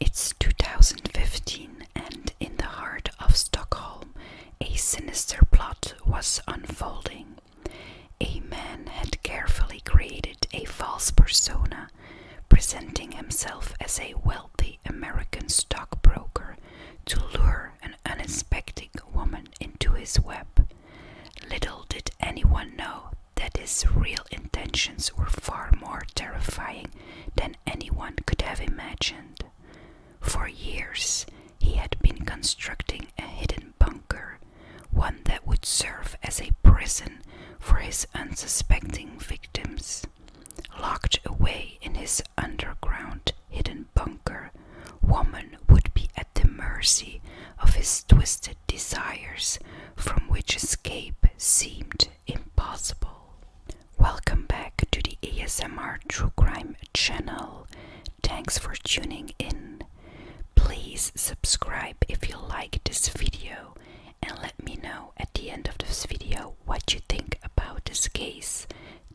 It's 2015, and in the heart of Stockholm, a sinister plot was unfolding. A man had carefully created a false persona, presenting himself as a wealthy American stockbroker to lure an unsuspecting woman into his web. Little did anyone know that his real intentions were far more terrifying than anyone could have imagined. For years, he had been constructing a hidden bunker, one that would serve as a prison for his unsuspecting victims. Locked away in his underground hidden bunker, woman would be at the mercy of his twisted desires, from which escape seemed impossible. Welcome back to the ASMR True Crime channel. Thanks for tuning in. Please subscribe if you like this video and let me know at the end of this video what you think about this case.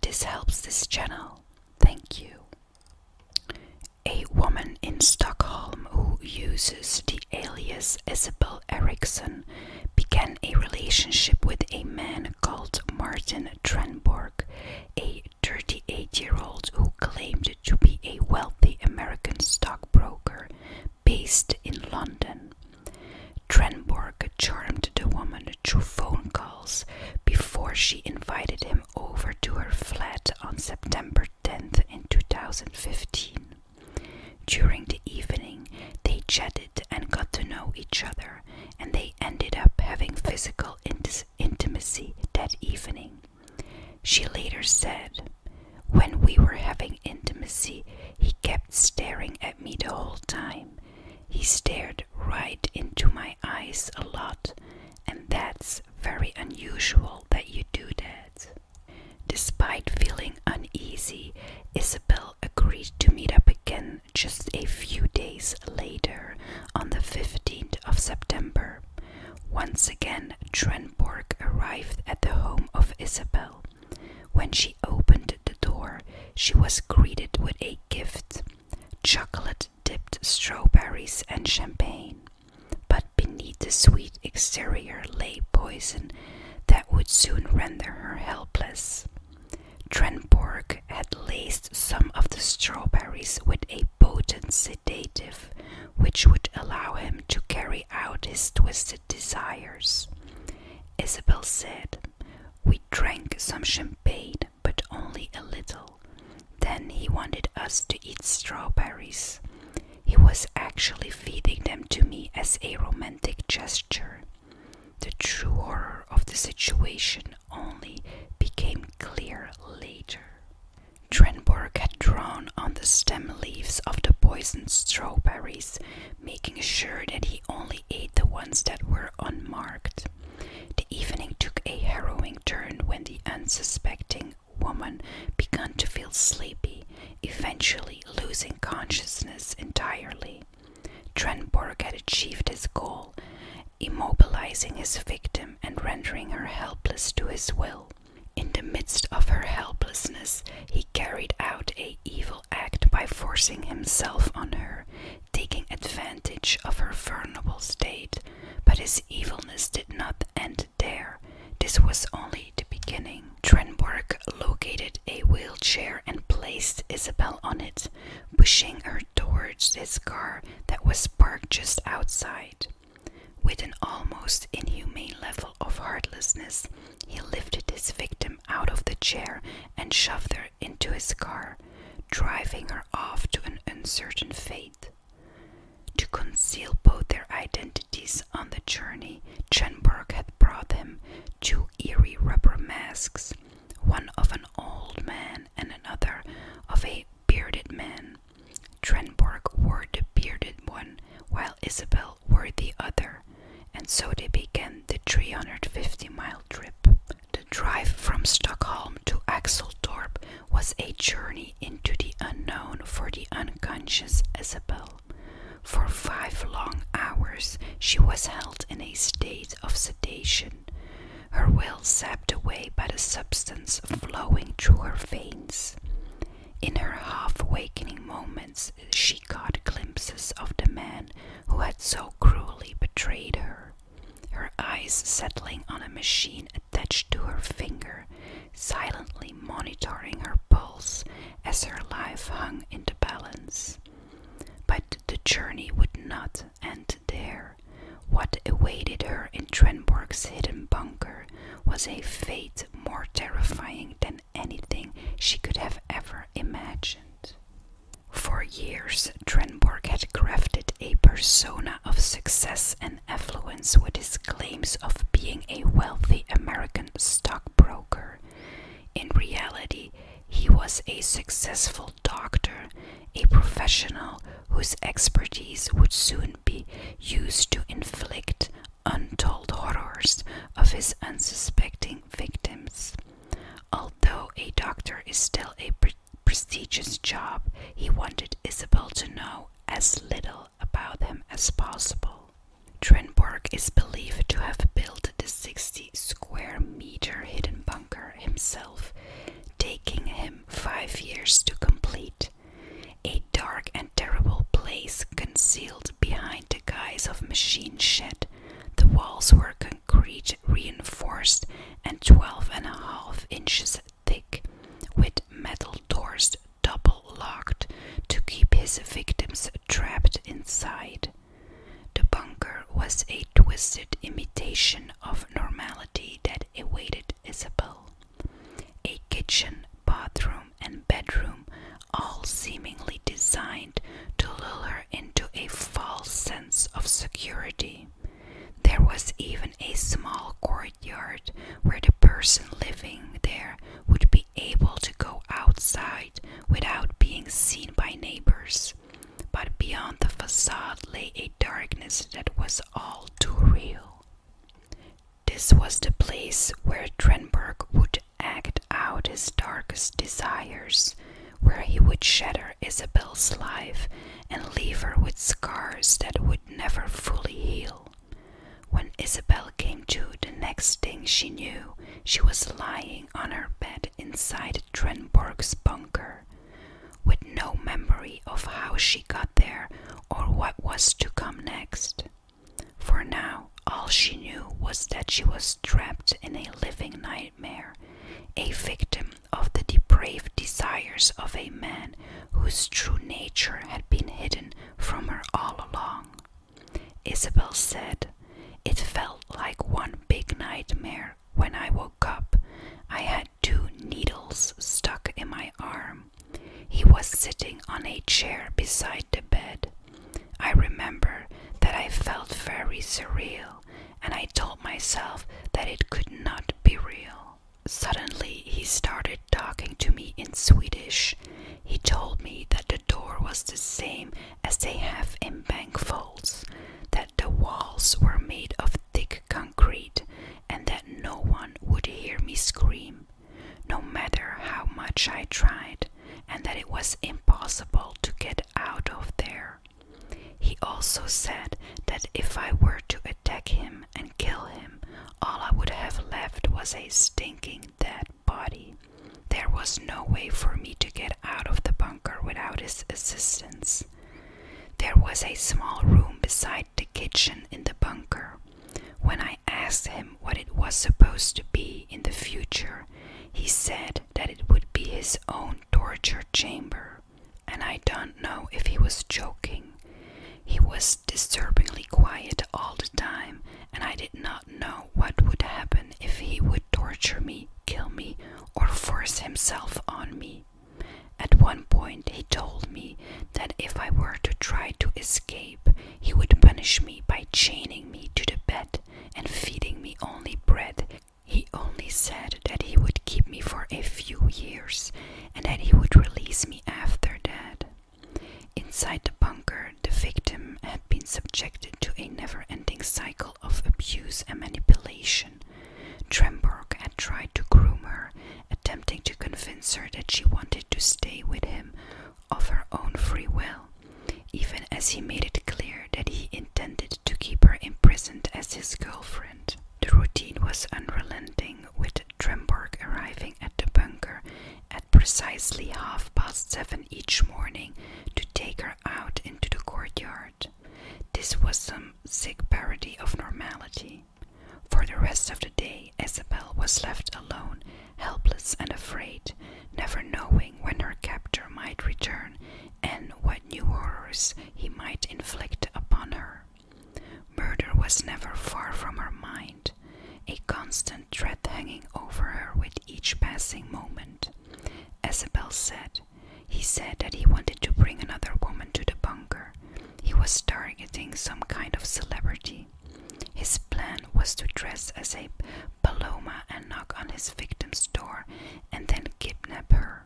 This helps this channel. Thank you. A woman in Stockholm who uses alias Isabel Erickson, began a relationship with a man called Martin Trenborg, a 38 year old who claimed to be a wealthy American stockbroker based in London. Trenborg charmed the woman through phone calls before she invited him over to her flat on September 10th in 2015. During the evening, they chatted and got to know each other, and they ended up having physical intimacy that evening. She later said, When we were having intimacy, he kept staring at me the whole time. He stared right into my eyes a lot, and that's very unusual that you do that. Despite feeling uneasy, Isabel agreed to meet up again just a few days later on the 15th of September. Once again, Trenborg arrived at the home of Isabel. When she opened the door, she was greeted with a gift chocolate dipped strawberries and champagne. But beneath the sweet exterior lay poison that would soon render her helpless. Trenborg had laced some of the strawberries with a potent sedative which would allow him to carry out his twisted desires. Isabel said, We drank some champagne, but only a little. Then he wanted us to eat strawberries. He was actually feeding them to me as a romantic gesture. The true horror of the situation only became clear later. Drenborg had drawn on the stem leaves of the poisoned strawberries, making sure that he only ate the ones that were unmarked. The evening took a harrowing turn when the unsuspecting woman began to feel sleepy eventually losing consciousness entirely. Trenborg had achieved his goal, immobilizing his victim and rendering her helpless to his will. In the midst of her helplessness, he carried out a evil act by forcing himself on her, taking advantage of her vulnerable state. But his evilness did not end there. This was only the beginning. Trenberg located a wheelchair and placed Isabel on it, pushing her towards his car that was parked just outside. With an almost inhumane level of heartlessness, he lifted his victim out of the chair and shoved her into his car, driving her off to an uncertain fate. To conceal both their identities on the journey, Trenberg had brought them two eerie rubber masks, one of an old man and another of a bearded man. Trenborg wore the bearded one, while Isabel wore the other, and so they began the 350 mile trip. The drive from Stockholm to Axeltorp was a journey into the unknown for the unconscious Isabel. For five long hours she was held in a state of sedation, her will sapped away by the substance flowing through her veins. In her half awakening moments, she caught glimpses of the man who had so cruelly betrayed her, her eyes settling on a machine attached to her finger, silently monitoring her pulse as her life hung in the balance. But the journey would not end there. What awaited her in Trenborg's hidden bunker was a fate more terrifying than anything she could have ever imagined. For years, Trenborg had crafted a persona of success and affluence with his claims of being a wealthy American stockbroker in reality, he was a successful doctor, a professional whose expertise would soon be used to inflict untold horrors of his unsuspecting victims. Although a doctor is still a prestigious job, he wanted Isabel to know as little about him as possible. Trenborg is believed to have built the 60 square meter hidden bunker himself, taking him five years to complete. A dark and terrible place concealed behind the guise of machine shed. The walls were concrete reinforced and twelve and a half inches thick, with metal doors double locked to keep his victims trapped inside. The bunker was a twisted imitation of normality that awaited Isabel. A kitchen, bathroom, and bedroom, all seemingly designed to lull her into a false sense of security. There was even a small courtyard where the person living there would be able to go outside without being seen by neighbors, but beyond the facade lay a darkness that was all too real. This was the place where Trenberg would act out his darkest desires, where he would shatter Isabel's life and leave her with scars that would never fully heal. When Isabel came to, the next thing she knew, she was lying on her bed inside Trenborg's bunker, with no memory of how she got there or what was to come next. For now, all she knew was that she was trapped in a living nightmare, a victim of the depraved desires of a man whose true nature had been hidden from her all along. Isabel said, It felt like one big nightmare when I woke up. I had two needles stuck in my arm. He was sitting on a chair beside the bed. I remember that I felt very surreal and I told myself that it could not be real. Suddenly, he started talking to me in Swedish. He told me that the door was the same as they have in vaults, that the walls were made of thick concrete and that no one would hear me scream, no matter how much I tried, and that it was impossible to get out of there. He also said that if I were to attack him and kill him, all I would have left was a stinking dead body. There was no way for me to get out of the bunker without his assistance. There was a small room beside the kitchen in the bunker. When I asked him what it was supposed to be in the future, he said that it would be his own torture chamber, and I don't know if he was joking. He was disturbingly quiet all the time, and I did not not know what would happen if he would torture me, kill me, or force himself on me. At one point, he told me that if I were to try to escape, he would punish me by chaining me to the bed and feeding me only bread. He only said that he would keep me for a few years and that he would release me after that. Inside the bunker, the victim had been subjected to a never ending cycle of abuse and manipulation. Tremborg had tried to groom her, attempting to convince her that she wanted to stay with him of her own free will, even as he made it clear that he intended to keep her imprisoned as his girlfriend. The routine was unrelenting, with Tremborg arriving at the bunker at precisely half past seven each morning to take her out into the courtyard. This was some sick parody of normality. For the rest of the day, Isabel was left alone, helpless and afraid, never knowing when her captor might return and what new horrors he might inflict upon her. Murder was never far from her mind, a constant threat hanging over her with each passing moment. Isabel said, He said that he wanted to bring another woman to the bunker. He was targeting some kind of celebrity. His plan was to dress as a paloma and knock on his victim's door and then kidnap her.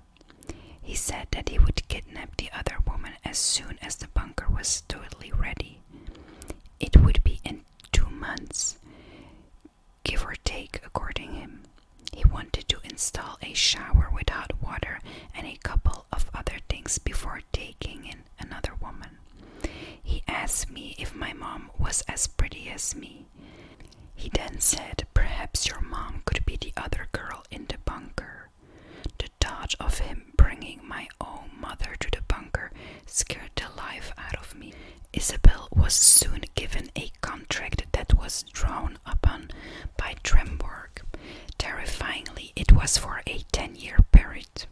He said that he would kidnap the other woman as soon as the bunker was totally ready. It would be in two months give or take according him. He wanted to install a shower with hot water and a couple of other things before taking in another woman. He asked me if my mom was as pretty as me. He then said, Perhaps your mom could be the other girl in the bunker. The thought of him bringing my own mother to the bunker scared the life out of me. Isabel was soon given a contract that was drawn upon by Tremborg. Terrifyingly, it was for a ten year period.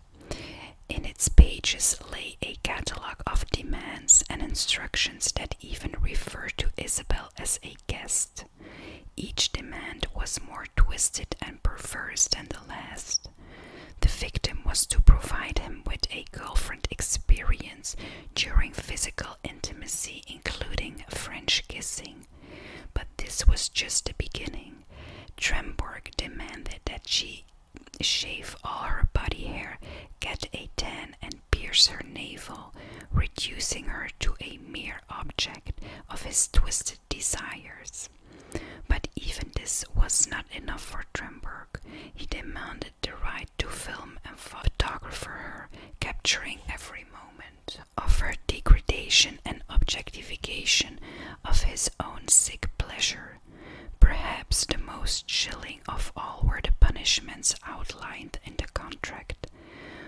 In its pages lay a catalogue of demands and instructions that even referred to Isabel as a guest. Each demand was more twisted and perverse than the last. The victim was to provide him with a girlfriend experience during physical intimacy, including French kissing. But this was just the beginning. Tremborg demanded that she shave all her body hair, get a tan, and pierce her navel, reducing her to a mere object of his twisted desires. But even this was not enough for Tremberg. He demanded the right to film and photograph her, capturing every moment of her degradation and objectification of his own sick pleasure. Perhaps the most chilling of all were the punishments outlined in the contract.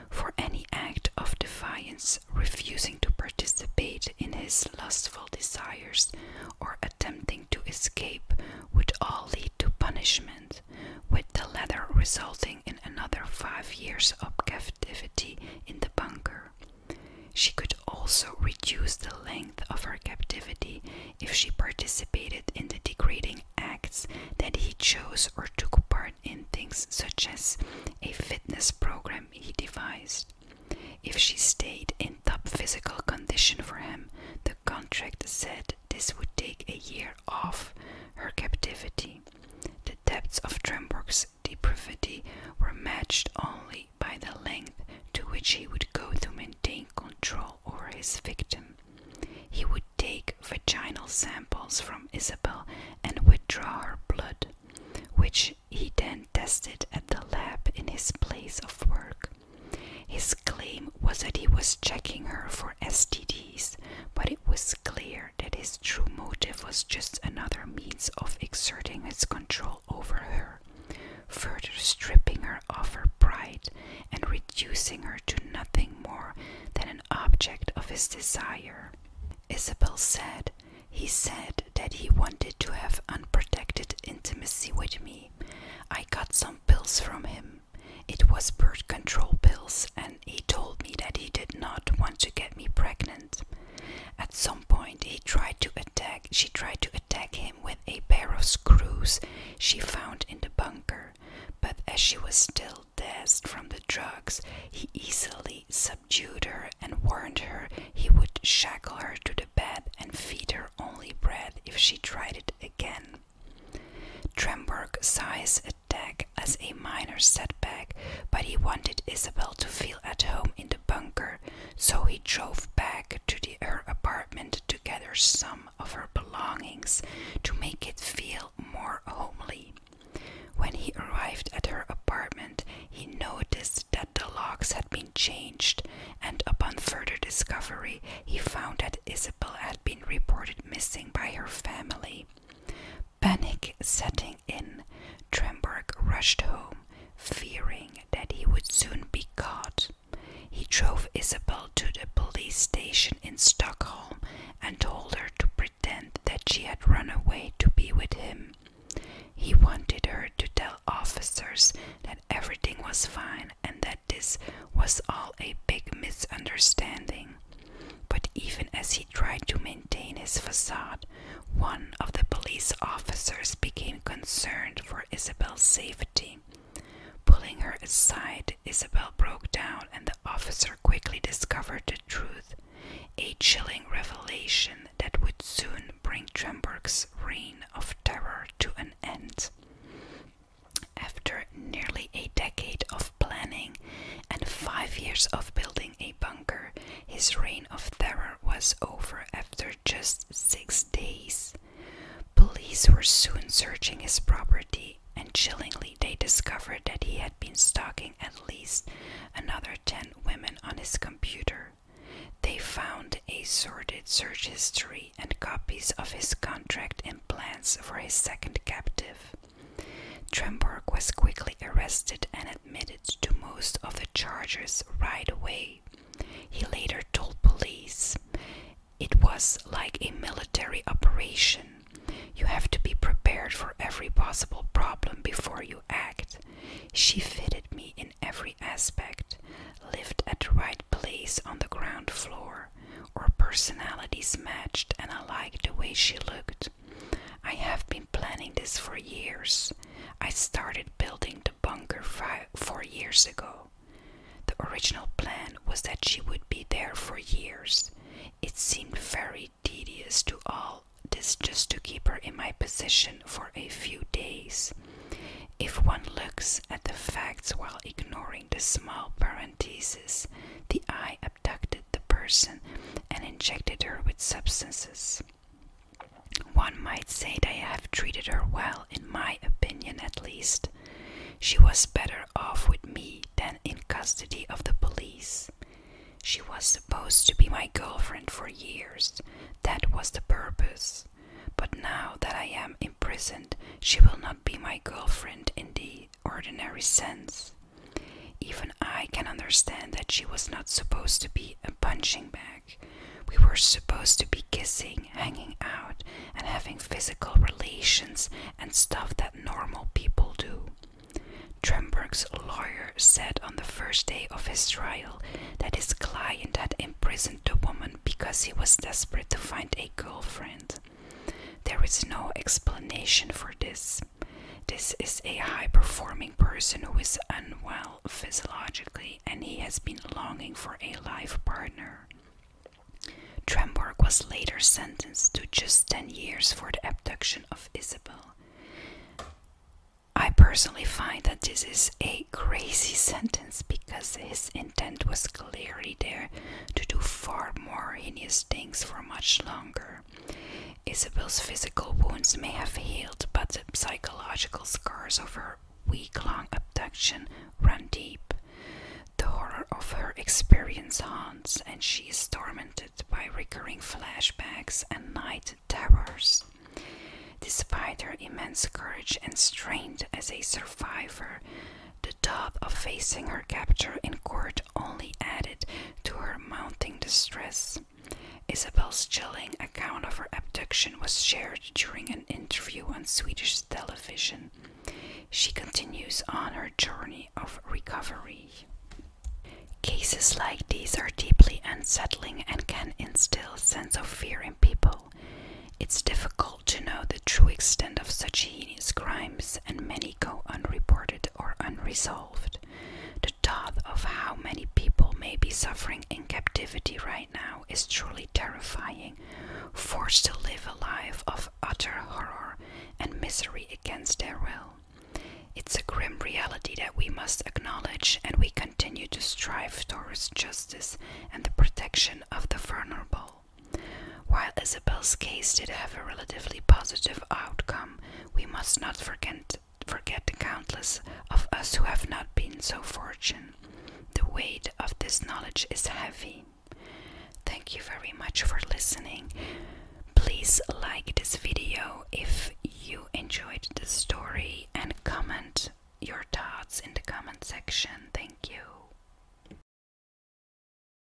For any act of defiance, refusing to participate in his lustful desires, or attempting to escape would all lead to punishment with the latter resulting in another five years of captivity in the bunker. She could also reduce the length of her captivity if she participated in the degrading acts that he chose or took part in things such as a fitness program he devised. If she stayed in top physical condition for him, the contract said this would take a year off her captivity. The depths of Tremborg's depravity were matched only by the length to which he would go to maintain control over his victim. He would take vaginal samples from Isabel and withdraw her blood, which he then tested at the lab in his place of work. His claim was that he was checking her for STDs, but it was clear that his true motive was just another means of exerting his control over her, further stripping her of her pride and reducing her to nothing more than an object of his desire. Isabel said, He said that he wanted to have unprotected intimacy with me. I got some pills from him it was birth control pills, and he told me that he did not want to get me pregnant. At some point, he tried to attack. She tried to attack him with a pair of screws she found in the bunker, but as she was still dazed from the drugs, he easily subdued her and warned her he would shackle her to the bed and feed her only bread if she tried it again. Tremberg his attack as a minor setback, but he wanted Isabel to feel at home in the bunker, so he drove back to the, her apartment to gather some of her belongings to make it feel more homely. When he arrived at her apartment, he noticed that the locks had been changed, and upon further discovery, he found that Isabel had been reported missing by her family. Panic setting in, Tremberg rushed home, fearing that he would soon be caught. He drove Isabel to the police station in Stockholm and told her to pretend that she had run away to be with him. He wanted her to tell officers that everything was fine and that this was all a big misunderstanding. But even as he tried to maintain his facade, one of the police officers became concerned for Isabel's safety. Pulling her aside, Isabel broke down, and the officer quickly discovered the truth a chilling revelation that would soon bring Tremberg's reign of terror to an end. After nearly a decade of planning and five years of building a bunker, his reign of terror was over after just six days. Police were soon searching his property, and chillingly, they discovered that he had been stalking at least another 10 women on his computer. They found a sordid search history and copies of his contract and plans for his second captive. Tremborg was quickly arrested and admitted to most of the charges right away. He later told police, It was like a military operation. You have to be prepared for every possible problem before you act. She fitted me in every aspect, lived at the right place on the ground floor her. Our personalities matched, and I liked the way she looked. I have been planning this for years. I started building the bunker five, four years ago. The original plan was that she would be there for years. It seemed very tedious to all this just to keep her in my position for a few days. If one looks at the facts while ignoring the small parentheses the eye abducted the person and injected her with substances. One might say that I have treated her well, in my opinion at least. She was better off with me than in custody of the police. She was supposed to be my girlfriend for years. That was the purpose. But now that I am imprisoned, she will not be my girlfriend indeed ordinary sense. Even I can understand that she was not supposed to be a punching bag. We were supposed to be kissing, hanging out, and having physical relations and stuff that normal people do. Tremberg's lawyer said on the first day of his trial that his client had imprisoned the woman because he was desperate to find a girlfriend. There is no explanation for this. This is a high performing person who is unwell physiologically and he has been longing for a life partner. Tremborg was later sentenced to just 10 years for the abduction of Isabel. I personally find that this is a crazy sentence because his intent was clear there to do far more heinous things for much longer. Isabel's physical wounds may have healed, but the psychological scars of her week long abduction run deep. The horror of her experience haunts, and she is tormented by recurring flashbacks and night terrors. Despite her immense courage and strength as a survivor, the thought of facing her capture in court only added to her mounting distress. Isabel's chilling account of her abduction was shared during an interview on Swedish television. She continues on her journey of recovery. Cases like these are deeply unsettling and can instill a sense of fear in people. It's difficult to know the true extent of such heinous crimes, and many go unreported or unresolved. The thought of how many people may be suffering in captivity right now is truly terrifying, forced to live a life of utter horror and misery against their will. It's a grim reality that we must acknowledge, and we continue to strive towards justice and the protection of the vulnerable. While Isabel's case did have a relatively positive outcome, we must not forget, forget the countless of us who have not been so fortunate. The weight of this knowledge is heavy. Thank you very much for listening. Please like this video if you enjoyed the story and comment your thoughts in the comment section. Thank you.